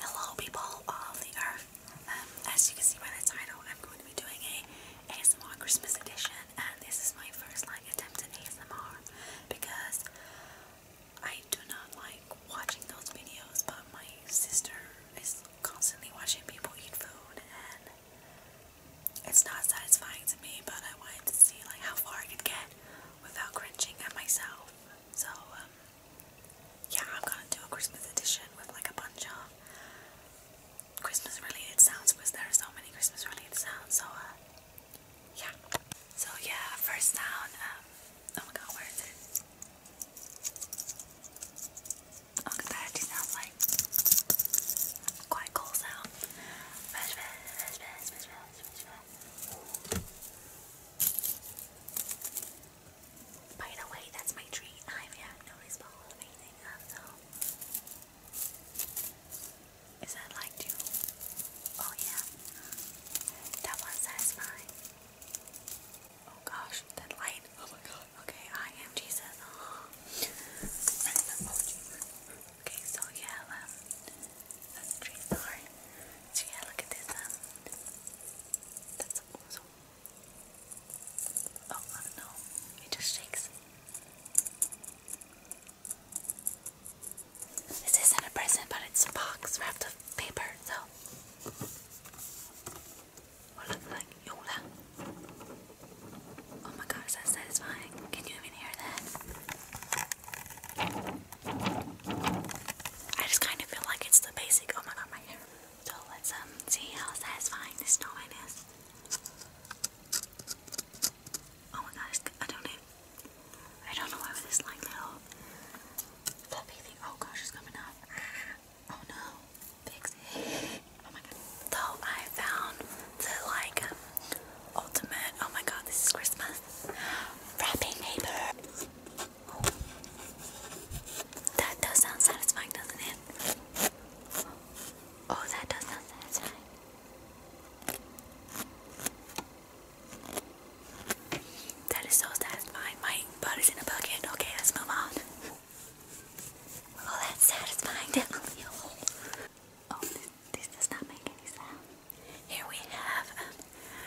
Hello people of the um, earth. as you can see by the title, I'm going to be doing a ASMR Christmas edition and this is my first like attempt at ASMR because I do not like watching those videos but my sister is constantly watching people eat food and it's not satisfying to me but I wanted to see like how far I could get without cringing at myself. So um, yeah, I'm gonna do a Christmas edition with like a bunch of Christmas related sounds because there are so many Christmas related sounds. So, uh, yeah. So, yeah, first sound. Um, oh my god, where is it? Oh, that sounds like quite cool sound. By the way, that's my tree. I have noticed the whole anything uh, so. Is that like two? Oh, yeah. That one satisfying. Oh gosh, that light. Oh my god. Okay, I am Okay, so yeah, um, that's three star. So yeah, look at this. Um, that's awesome. Oh, I don't know. It just shakes. This isn't a present, but it's a box wrapped up paper. So, what looks like Yola. Oh my gosh, that's satisfying. Can you even hear that? I just kind of feel like it's the basic. omen oh my my hair. So let's um see how satisfying this snowman is. Oh my god, I don't know. I don't know why this like little fluffy thing. Oh gosh, it's coming off. Oh no, fix it. Oh my god. So I found the like ultimate. Oh my god, this is Christmas. Wrapping paper. Oh. That does sound satisfying, doesn't it? Oh, that does sound satisfying. That is so satisfying. My butt is in a bucket. Okay, let's move on. Oh, that's satisfying. Definitely. Oh, this, does not make any sound. Here we have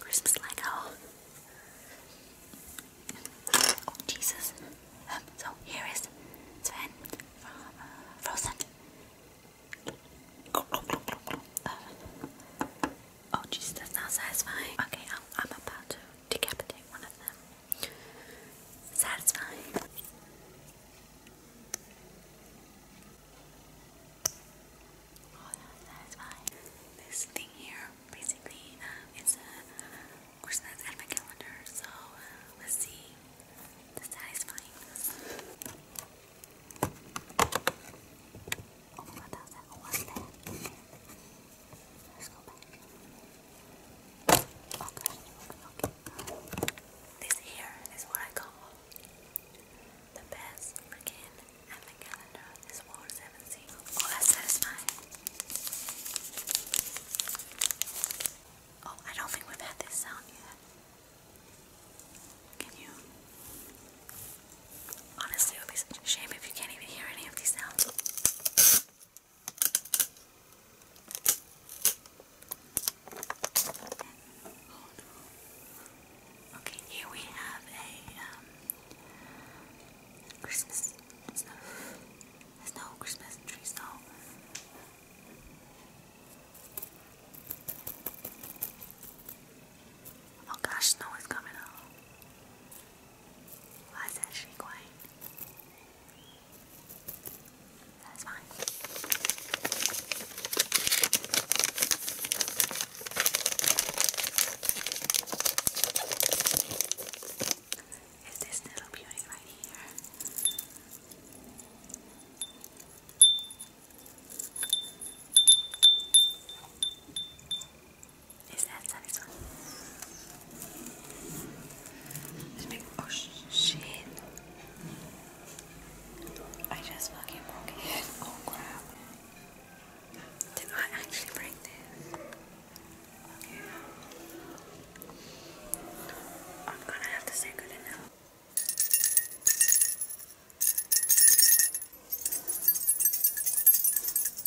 Christmas Lego. Oh, Jesus. Um, so here is Sven from uh, Frozen. Uh, oh, Jesus, that's not satisfying. Okay, I'm about to decapitate one of them. Satisfying. Oh, that's satisfying. This thing here, basically, um, uh, is a Christmas advent calendar, so uh, let's see the satisfyingness. Oh my god, that was that? Let's go back. This here is what I call the best freaking advent calendar this world has ever Oh, that's satisfying. Oh, I don't think we've had this sound yet. Can you? Honestly, it would be such a shame if you can't even hear any of these sounds. Okay, here we have a um, Christmas. It's not, Christmas tree stall. Oh gosh, snow is coming on. Why is that that's fine. Is this little beauty right here? Is that this one? oh shit! I just fucking broke it. Oh crap! Did I actually break this? I'm gonna have to say good enough.